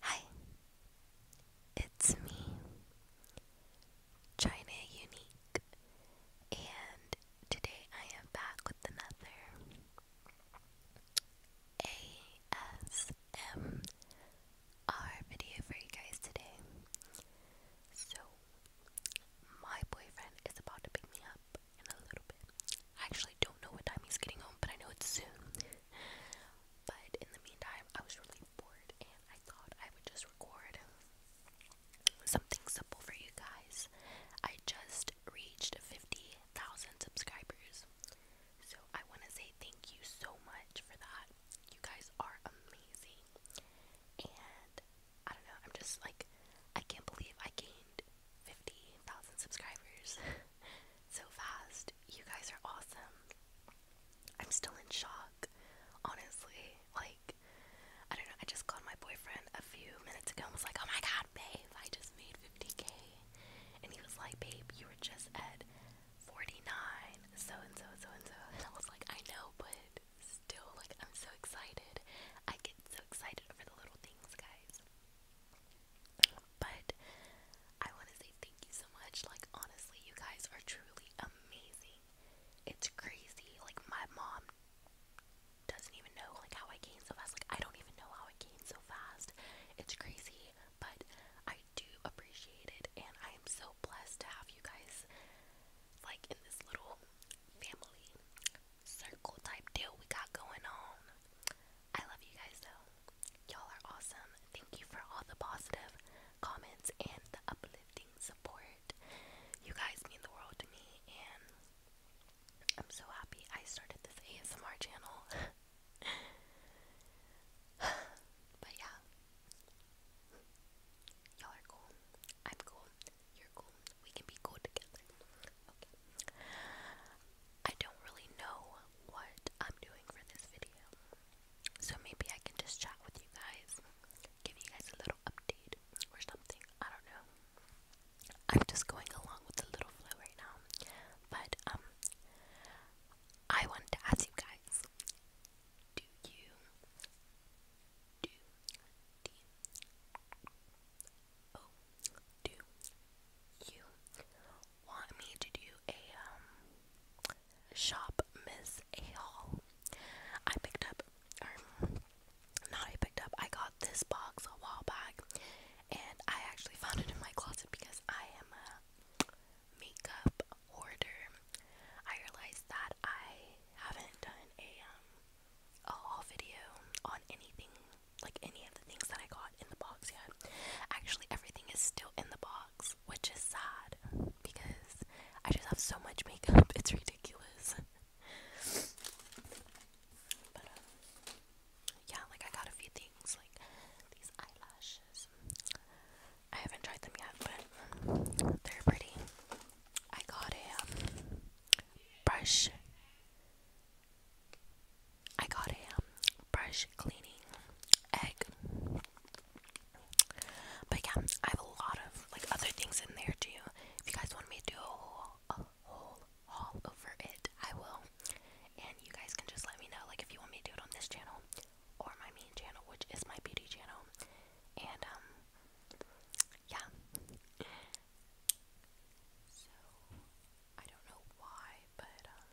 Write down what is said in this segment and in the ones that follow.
Hi, it's me, China Unique, and today I am back with another ASMR video for you guys today. So, my boyfriend is about to pick me up in a little bit, I actually don't know what time he's getting home, but I know it's soon. but in the meantime, I was really bored and I thought I would just record something simple for you guys. I just reached 50,000 subscribers. So I want to say thank you so much for that. You guys are amazing. And I don't know, I'm just like, I can't believe I gained 50,000 subscribers so fast. You guys are awesome. I'm still in shock, honestly. Like, I don't know, I just called my boyfriend a few minutes ago I was like, oh my god, babe, I just made 50k. And he was like, babe, you were just at 49, so and so, and so and so. And I was like, I know, but still, like, I'm so excited. I get so excited over the little things, guys. But I want to say thank you so much. Like, honestly, you guys are truly amazing. It's crazy. Like, my mom doesn't even know like how I gained so fast. Like, I don't even know how I gained so fast. It's crazy, but I do appreciate it, and I am so blessed to have you guys like in this little family circle type deal we got going on. I love you guys though. Y'all are awesome. Thank you for all the positive comments and the uplifting support. You guys mean the world to me, and I'm so happy I started this ASMR channel. but yeah, y'all are cool. I'm cool. You're cool. We can be cool together. Okay. I don't really know what I'm doing for this video. So maybe I can just chat with you guys. Give you guys a little update or something. I don't know. I'm just going along with the little flow right now. But um I wanted to ask you guys, do you do, D, O, do you want me to do a, shop Miss A haul? I picked up, or, not I picked up, I got this box a while back, and I actually found it in my closet because I am a makeup hoarder. I realized that I haven't done a, a haul video on anything, like any of the things that I got in the box yet. Actually, everything is still in the box, which is sad because I just have so much makeup, it's ridiculous. but, um, yeah, like I got a few things, like these eyelashes. I haven't tried them yet, but they're pretty. I got a um, brush. I got a um, brush cleaning egg. But yeah, I have a lot of like other things in there too. If you guys want me to do a whole, a whole haul over it, I will. And you guys can just let me know like if you want me to do it on this channel or my main channel, which is my beauty channel. And, um, yeah. So, I don't know why, but, um,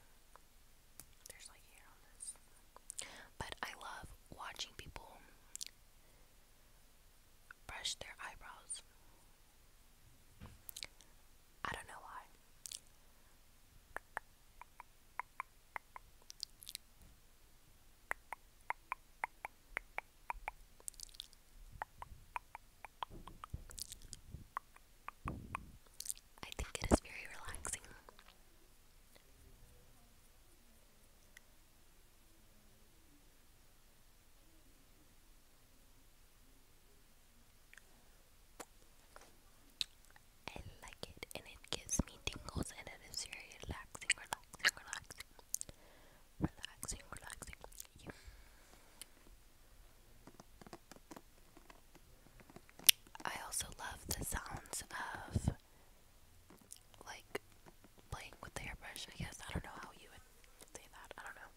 there's like hair on this. But I love watching people brush their eyebrows. I don't know why. I think it is very relaxing. I like it and it gives me tingles and it is very relaxing, relaxing, relaxing. Relaxing, relaxing. I also love the sounds of like playing with the airbrush, I guess. I don't know how you would say that. I don't know.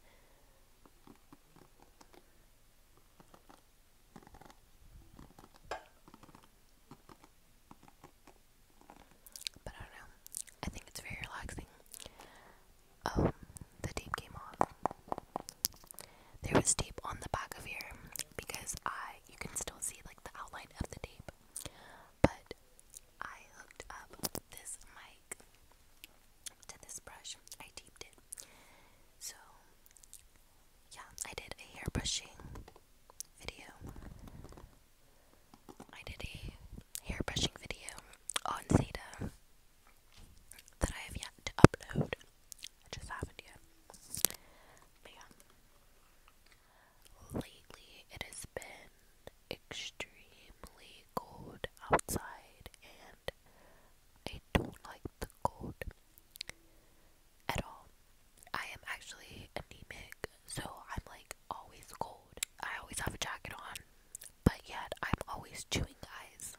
But I don't know. I think it's very relaxing. Oh, the tape came off. There was tape on the back of here because I you can still see like the outline of the tape. But I hooked up this mic to this brush. I taped it. So yeah, I did a hair brushing video. I did a hair brushing video on Zeta that I have yet to upload. I just haven't yet. yeah. Lately it has been extremely cold outside and I don't like the cold at all. I am actually anemic, so I'm like always cold. I always have a jacket on, but yet I'm always chewing ice.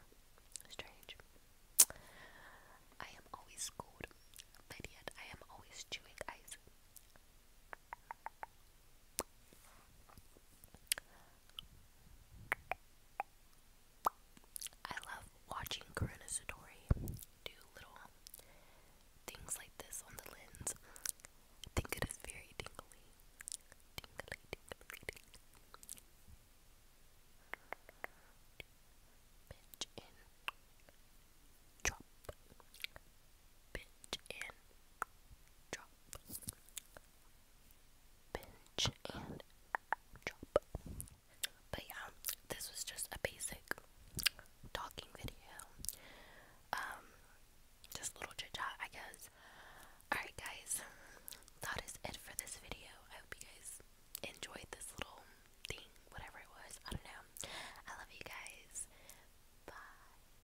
Strange. I am always cold, but yet I am always chewing ice. I love watching Karuna Satori do little things like this on the lens. I think it is very tingly. Tingly, tingly, tingly. Pitch Drop. Drop pinch and drop. But yeah, this was just a basic talking video. Um, just little chit chat, I guess. Alright, guys, that is it for this video. I hope you guys enjoyed this little thing, whatever it was. I don't know. I love you guys. Bye.